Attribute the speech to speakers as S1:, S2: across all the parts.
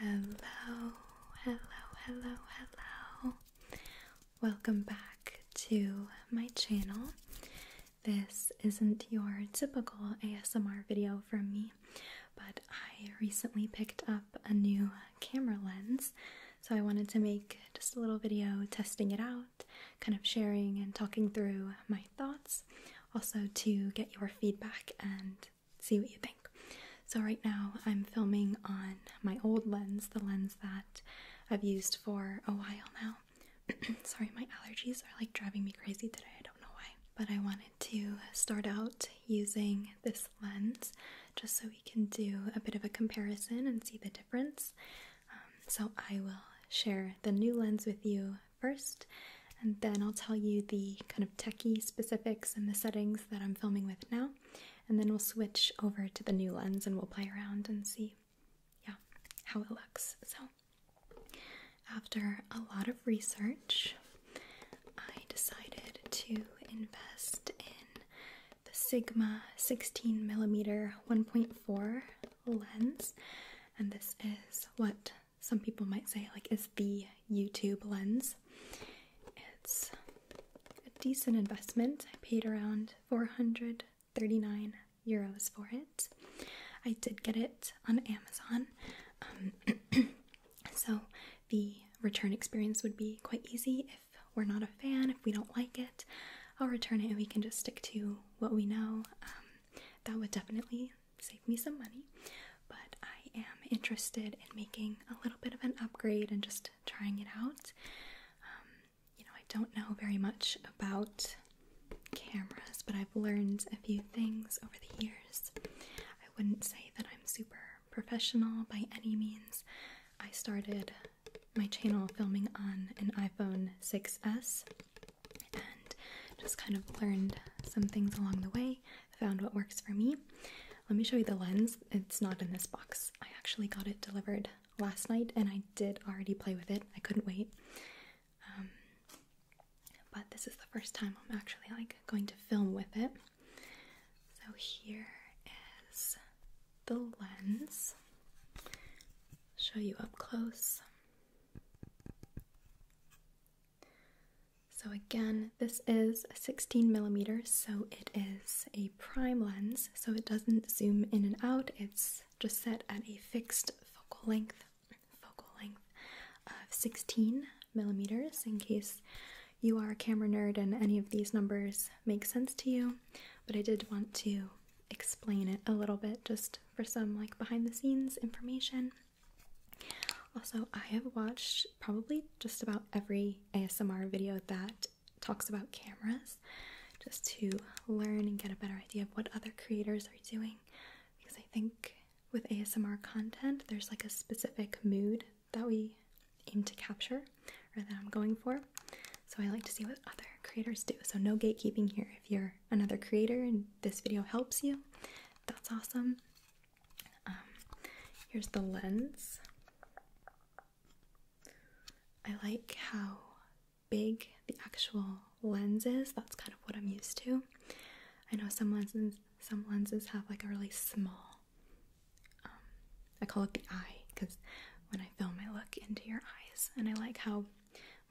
S1: Hello, hello, hello, hello. Welcome back to my channel. This isn't your typical ASMR video from me, but I recently picked up a new camera lens, so I wanted to make just a little video testing it out, kind of sharing and talking through my thoughts, also to get your feedback and see what you think. So, right now I'm filming on my old lens, the lens that I've used for a while now. Sorry, my allergies are like driving me crazy today. I don't know why. But I wanted to start out using this lens just so we can do a bit of a comparison and see the difference. Um, so, I will share the new lens with you first, and then I'll tell you the kind of techie specifics and the settings that I'm filming with now, and then we'll switch over to the new lens and we'll play around and see, yeah, how it looks. So, after a lot of research, I decided to invest in the Sigma 16 millimeter 1.4 lens, and this is what some people might say like is the YouTube lens. It's a decent investment. I paid around 439 euros for it. I did get it on Amazon. Um, so the return experience would be quite easy if we're not a fan, if we don't like it, I'll return it and we can just stick to what we know. Um, that would definitely save me some money. But I am interested in making a little bit of an upgrade and just trying it out. Um, you know, I don't know very much about cameras, but I've learned a few things over the years. I wouldn't say that I'm super professional by any means. I started my channel filming on an iPhone 6S and just kind of learned some things along the way found what works for me. Let me show you the lens. It's not in this box. I actually got it delivered last night and I did already play with it. I couldn't wait. Um, but this is the first time I'm actually like going to film with it. So here is the lens. Show you up close. So again, this is 16 millimeters, so it is a prime lens, so it doesn't zoom in and out. It's just set at a fixed focal length, focal length of 16 millimeters. In case you are a camera nerd and any of these numbers make sense to you, but I did want to explain it a little bit just for some like behind the scenes information. Also, I have watched probably just about every ASMR video that talks about cameras just to learn and get a better idea of what other creators are doing because I think with ASMR content, there's like a specific mood that we aim to capture or that I'm going for. So I like to see what other creators do. So no gatekeeping here. If you're another creator and this video helps you, that's awesome. Um, here's the lens. I like how big the actual lens is. That's kind of what I'm used to. I know some lenses some lenses have like a really small um, I call it the eye because when I film I look into your eyes and I like how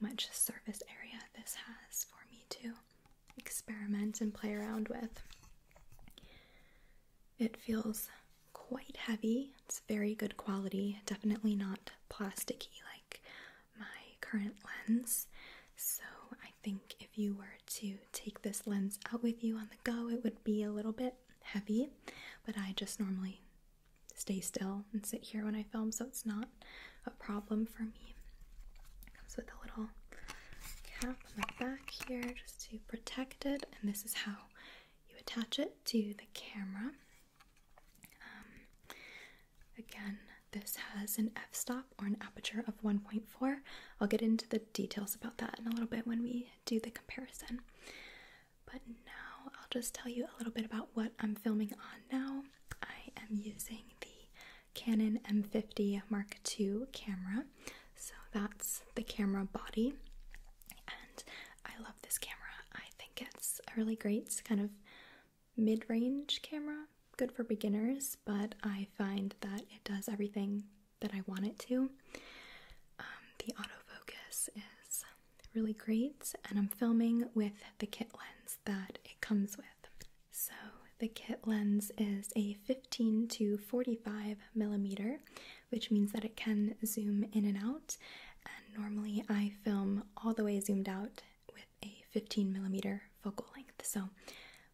S1: much surface area this has for me to experiment and play around with. It feels quite heavy. It's very good quality, definitely not plasticky like my current lens. So, I think if you were to take this lens out with you on the go, it would be a little bit heavy, but I just normally stay still and sit here when I film, so it's not a problem for me. comes with a little cap flap the back here just to protect it, and this is how you attach it to the camera. Um, again, this has an f stop or an aperture of 1.4. I'll get into the details about that in a little bit when we do the comparison. But now I'll just tell you a little bit about what I'm filming on now. I am using the Canon M50 Mark II camera. So that's the camera body, and I love this camera. I think it's a really great kind of mid range camera, good for beginners, but I find that it does everything that I want it to. Um, the autofocus is really great, and I'm filming with the kit lens that it comes with. So, the kit lens is a 50 15 to 45 millimeter, which means that it can zoom in and out. And normally I film all the way zoomed out with a 15 millimeter focal length. So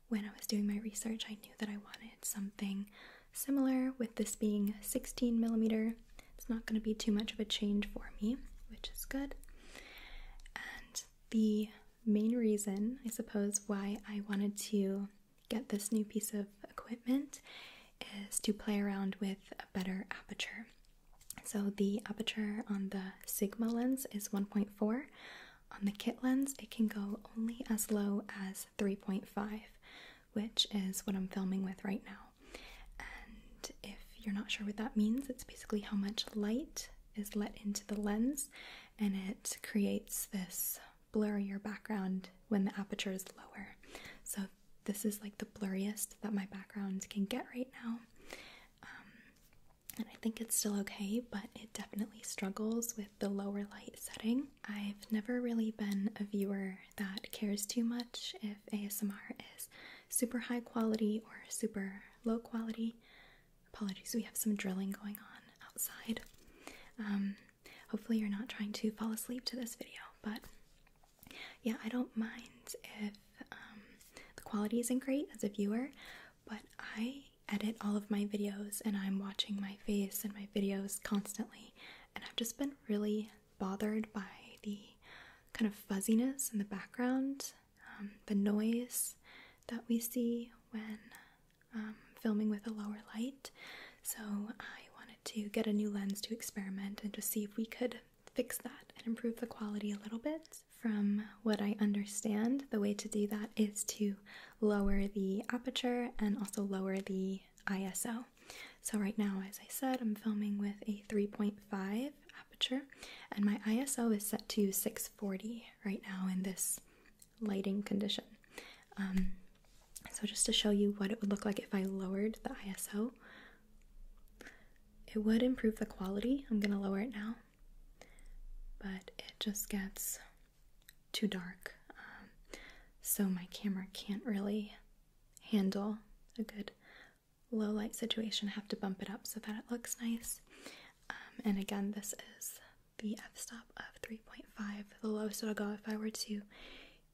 S1: when I was doing my research, I knew that I wanted something similar with this being 16 millimeter. It's not going to be too much of a change for me, which is good. And the main reason, I suppose, why I wanted to get this new piece of equipment is to play around with a better aperture. So, the aperture on the Sigma lens is 1.4. On the kit lens, it can go only as low as 3.5, which is what I'm filming with right now. And if you're not sure what that means, it's basically how much light is let into the lens and it creates this blurrier background when the aperture is lower. So this is like the blurriest that my background can get right now. Um, and I think it's still okay, but it definitely struggles with the lower light setting. I've never really been a viewer that cares too much if ASMR is super high quality or super low quality. Apologies, we have some drilling going on outside. Um, hopefully, you're not trying to fall asleep to this video, but yeah, I don't mind if um, the quality isn't great as a viewer, but I edit all of my videos and I'm watching my face and my videos constantly, and I've just been really bothered by the kind of fuzziness in the background, um, the noise that we see when um, filming with a lower light, so I wanted to get a new lens to experiment and to see if we could fix that and improve the quality a little bit. From what I understand, the way to do that is to lower the aperture and also lower the ISO. So, right now, as I said, I'm filming with a 3.5 aperture, and my ISO is set to 640 right now in this lighting condition. Um, so just to show you what it would look like if I lowered the ISO, it would improve the quality. I'm going to lower it now, but it just gets too dark. Um, so my camera can't really handle a good low light situation. I have to bump it up so that it looks nice. Um, and again, this is the f-stop of 3.5, the lowest it'll go. If I were to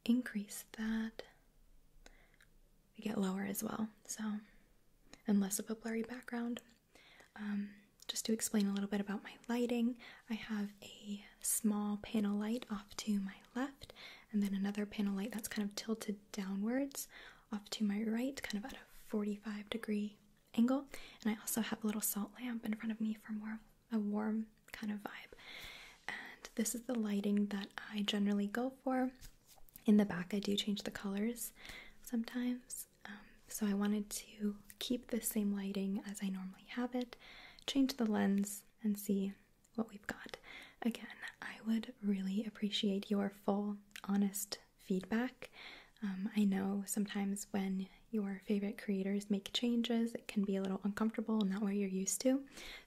S1: increase that, we get lower as well. So, and less of a blurry background. Um, just to explain a little bit about my lighting, I have a small panel light off to my left, and then another panel light that's kind of tilted downwards off to my right, kind of at a 45 degree angle. And I also have a little salt lamp in front of me for more a warm kind of vibe. And this is the lighting that I generally go for. In the back, I do change the colors sometimes. Um, so I wanted to keep the same lighting as I normally have it, change the lens, and see what we've got. Again, I would really appreciate your full, honest feedback. Um, I know sometimes when your favorite creators make changes. It can be a little uncomfortable, not what you're used to.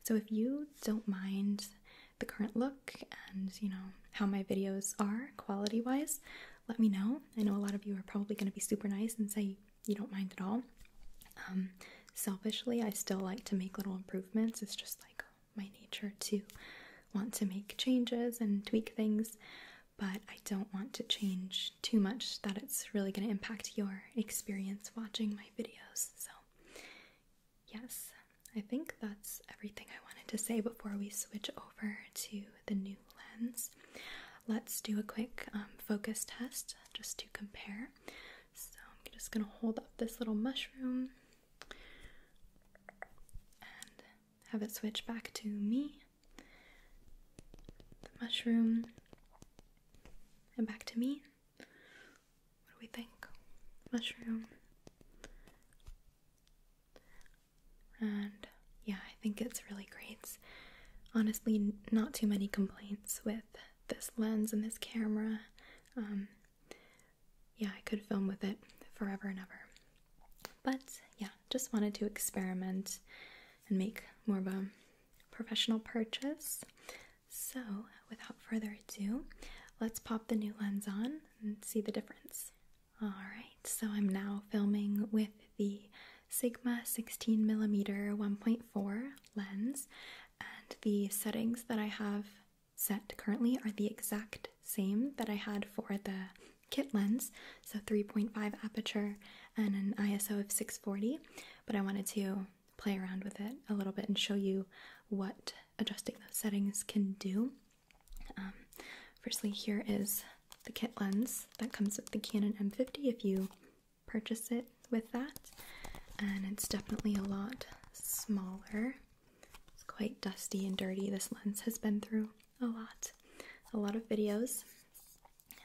S1: So if you don't mind the current look and you know how my videos are quality wise, let me know. I know a lot of you are probably going to be super nice and say you don't mind at all. Um, selfishly, I still like to make little improvements. It's just like my nature to want to make changes and tweak things but I don't want to change too much that it's really going to impact your experience watching my videos. So, yes, I think that's everything I wanted to say before we switch over to the new lens. Let's do a quick um, focus test just to compare. So, I'm just going to hold up this little mushroom and have it switch back to me the mushroom, and back to me. What do we think? Mushroom. And yeah, I think it's really great. honestly, not too many complaints with this lens and this camera. Um, yeah, I could film with it forever and ever. But yeah, just wanted to experiment and make more of a professional purchase. So, without further ado, let's pop the new lens on and see the difference. Alright, so I'm now filming with the Sigma 16 millimeter 1.4 lens, and the settings that I have set currently are the exact same that I had for the kit lens so 3.5 aperture and an ISO of 640. But I wanted to play around with it a little bit and show you what adjusting those settings can do. Um, firstly, here is the kit lens that comes with the Canon M50 if you purchase it with that, and it's definitely a lot smaller. It's quite dusty and dirty. This lens has been through a lot, a lot of videos,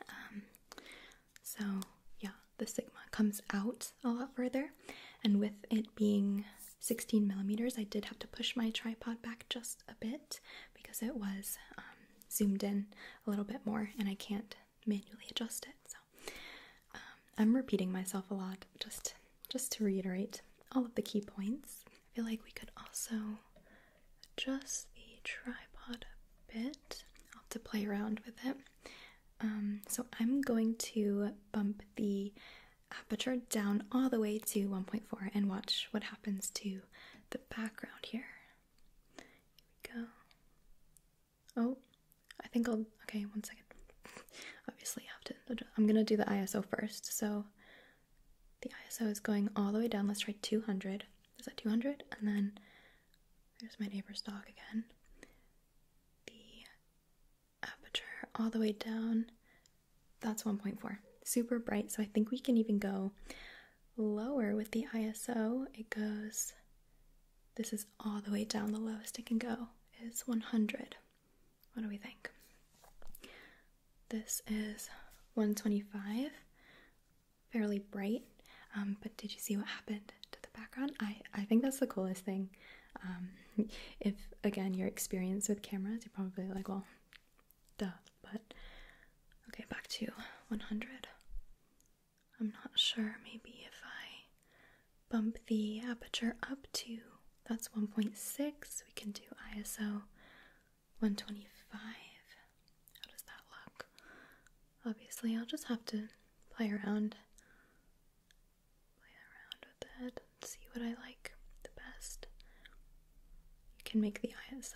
S1: um, so yeah, the Sigma comes out a lot further, and with it being 16 millimeters, I did have to push my tripod back just a bit because it was um, zoomed in a little bit more, and I can't manually adjust it. So um, I'm repeating myself a lot, just just to reiterate all of the key points. I feel like we could also adjust the tripod a bit. I'll have to play around with it. Um, so I'm going to bump the aperture down all the way to 1.4 and watch what happens to the background here. go. Oh, I think I'll, okay, one second. Obviously I have to, I'm gonna do the ISO first. So the ISO is going all the way down. Let's try 200 is at 200 and then there's my neighbor's dog again the aperture all the way down that's 1.4 super bright so I think we can even go lower with the ISO it goes this is all the way down the lowest it can go is 100 what do we think this is 125 fairly bright. Um, but did you see what happened to the background? I, I think that's the coolest thing. Um, if again your experience with cameras, you're probably like, well, duh. But okay, back to 100. I'm not sure. Maybe if I bump the aperture up to that's 1.6, we can do ISO 125. How does that look? Obviously, I'll just have to play around, play around with it, see what I like the best. You can make the ISO.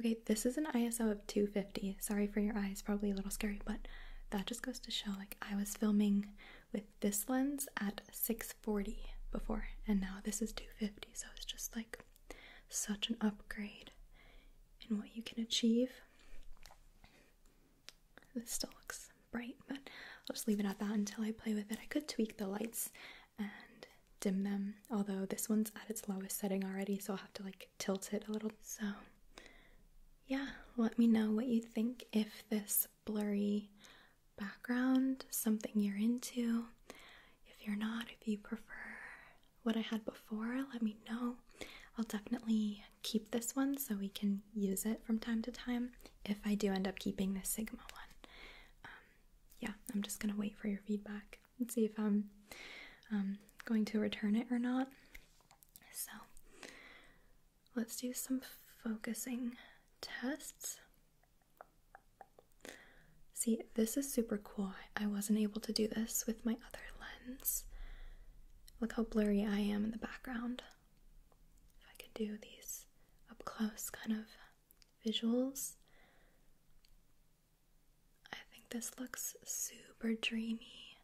S1: Okay, this is an ISO of 250. Sorry for your eyes, probably a little scary, but that just goes to show like I was filming with this lens at 640 before, and now this is 250, so it's just like such an upgrade and what you can achieve. This still looks bright, but I'll just leave it at that until I play with it. I could tweak the lights and dim them, although this one's at its lowest setting already, so I'll have to like tilt it a little. So, yeah, let me know what you think if this blurry background something you're into, if you're not, if you prefer what I had before, let me know. I'll definitely keep this one so we can use it from time to time if I do end up keeping the Sigma one. Um, yeah, I'm just gonna wait for your feedback and see if I'm um, going to return it or not. So let's do some focusing tests. See, this is super cool. I wasn't able to do this with my other lens. Look how blurry I am in the background. If I could do these up close kind of visuals, I think this looks super dreamy.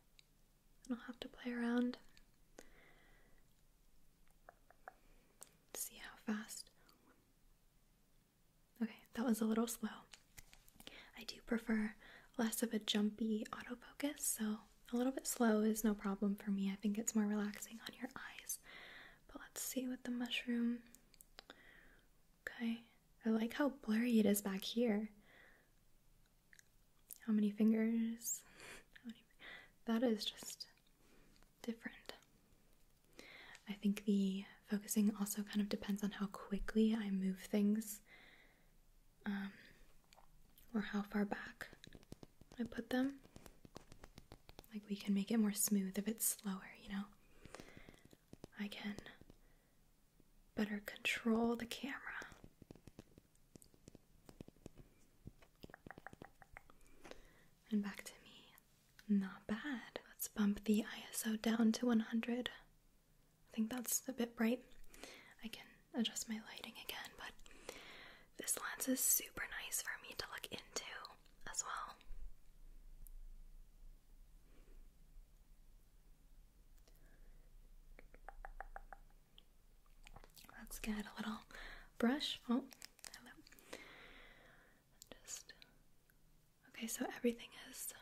S1: I'll have to play around. See how fast Okay, that was a little slow. I do prefer less of a jumpy autofocus, so a little bit slow is no problem for me. I think it's more relaxing on your eyes. But let's see with the mushroom. Okay, I like how blurry it is back here. How many fingers? That is just different. I think the focusing also kind of depends on how quickly I move things um, or how far back I put them. Like, we can make it more smooth if it's slower, you know? I can better control the camera. And back to me. Not bad. Let's bump the ISO down to 100. I think that's a bit bright. I can adjust my lighting again, but this lens is super nice for me to look into as well. Let's get a little brush. Oh, hello. Just Okay, so everything is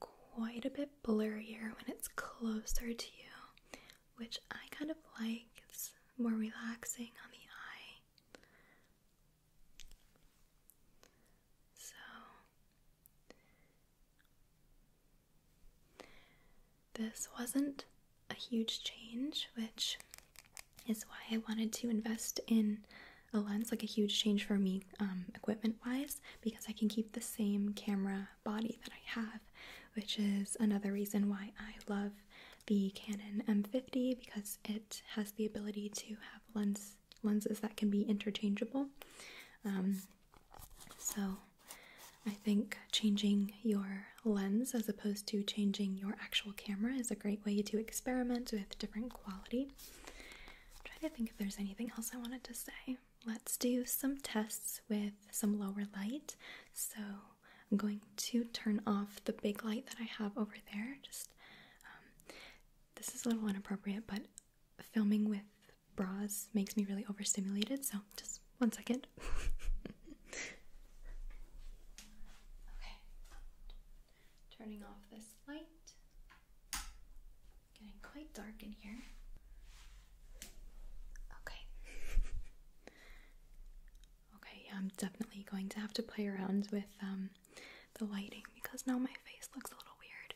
S1: quite a bit blurrier when it's closer to you, which I kind of like. It's more relaxing on the eye. So, this wasn't a huge change, which is why I wanted to invest in a lens, like a huge change for me um, equipment wise, because I can keep the same camera body that I have, which is another reason why I love the Canon M50 because it has the ability to have lens lenses that can be interchangeable. Um, so I think changing your lens as opposed to changing your actual camera is a great way to experiment with different quality. Try to think if there's anything else I wanted to say. Let's do some tests with some lower light. So I'm going to turn off the big light that I have over there. Just um, this is a little inappropriate, but filming with bras makes me really overstimulated. So just one second. okay, turning off this light. Getting quite dark in here. Okay. okay, I'm definitely going to have to play around with um the lighting because now my face looks a little weird.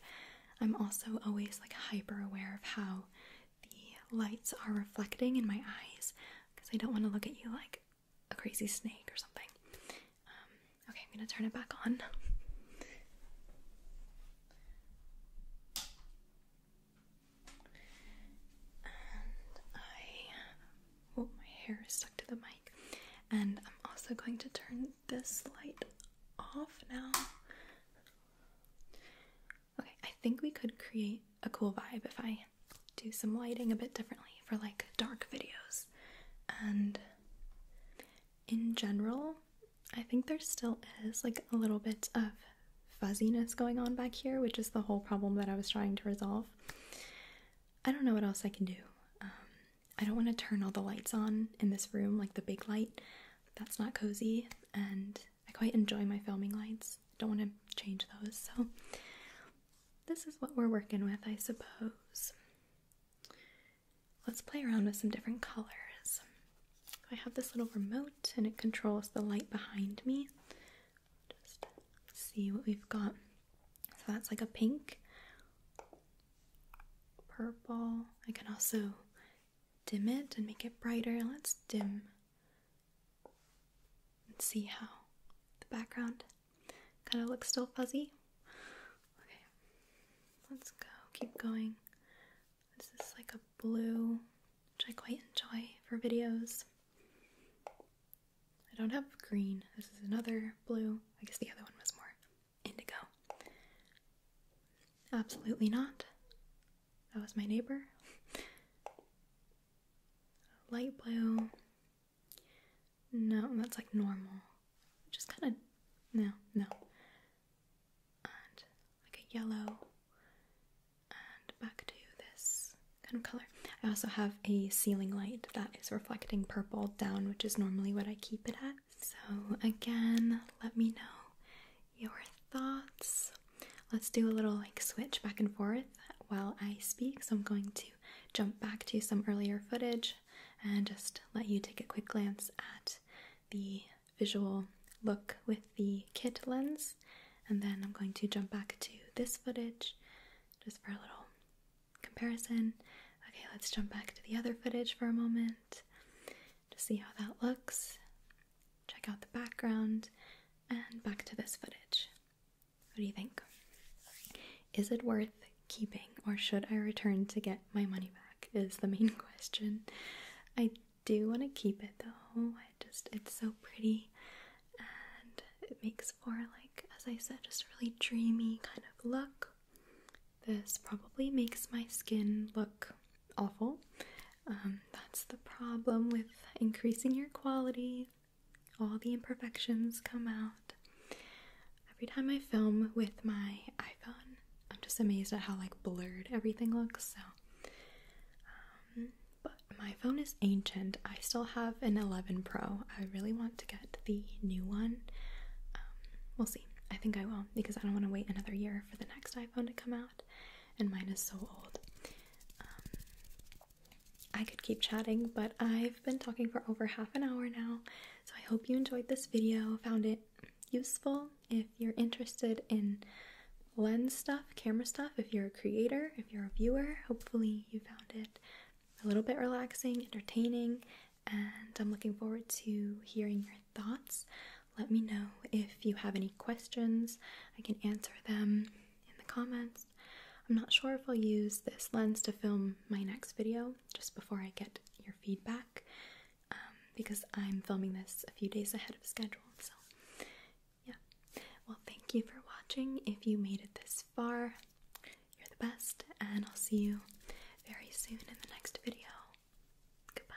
S1: I'm also always like hyper aware of how the lights are reflecting in my eyes because I don't want to look at you like a crazy snake or something. Um, Okay, I'm going to turn it back on. And I. Oh, my hair is stuck to the mic. And I'm also going to turn this light off now. Okay, I think we could create a cool vibe if I do some lighting a bit differently for like dark videos. And in general, I think there still is like a little bit of fuzziness going on back here, which is the whole problem that I was trying to resolve. I don't know what else I can do. Um, I don't want to turn all the lights on in this room, like the big light. That's not cozy, and I quite enjoy my filming lights. Don't want to change those, so this is what we're working with, I suppose. Let's play around with some different colors. I have this little remote and it controls the light behind me. Just see what we've got. So that's like a pink, purple. I can also dim it and make it brighter. Let's dim and see how the background kind of looks still fuzzy. Okay, let's go. Keep going. This is like a blue, which I quite enjoy for videos. I don't have green. This is another blue. I guess the other one was more indigo. Absolutely not. That was my neighbor. Light blue. No, that's like normal. Just kind of. No, no like a yellow and back to this kind of color. I also have a ceiling light that is reflecting purple down, which is normally what I keep it at. So again, let me know your thoughts. Let's do a little like switch back and forth while I speak. So I'm going to jump back to some earlier footage and just let you take a quick glance at the visual look with the kit lens and then I'm going to jump back to this footage just for a little comparison. Okay, let's jump back to the other footage for a moment to see how that looks. Check out the background and back to this footage. What do you think? Is it worth keeping or should I return to get my money back? is the main question. I do want to keep it though. I just it's so pretty and it makes for like as I said just really dreamy kind of look. This probably makes my skin look awful. Um, that's the problem with increasing your quality. All the imperfections come out. Every time I film with my iPhone, I'm just amazed at how like blurred everything looks. So, um, but my phone is ancient. I still have an 11 Pro. I really want to get the new one. Um, we'll see. I think I will because I don't want to wait another year for the next iPhone to come out, and mine is so old. Um, I could keep chatting, but I've been talking for over half an hour now, so I hope you enjoyed this video, found it useful if you're interested in lens stuff, camera stuff, if you're a creator, if you're a viewer. Hopefully, you found it a little bit relaxing, entertaining, and I'm looking forward to hearing your thoughts. Let me know if you have any questions. I can answer them in the comments. I'm not sure if I'll use this lens to film my next video just before I get your feedback. Um, because I'm filming this a few days ahead of schedule. So, yeah. Well, thank you for watching. If you made it this far, you're the best, and I'll see you very soon in the next video. Goodbye.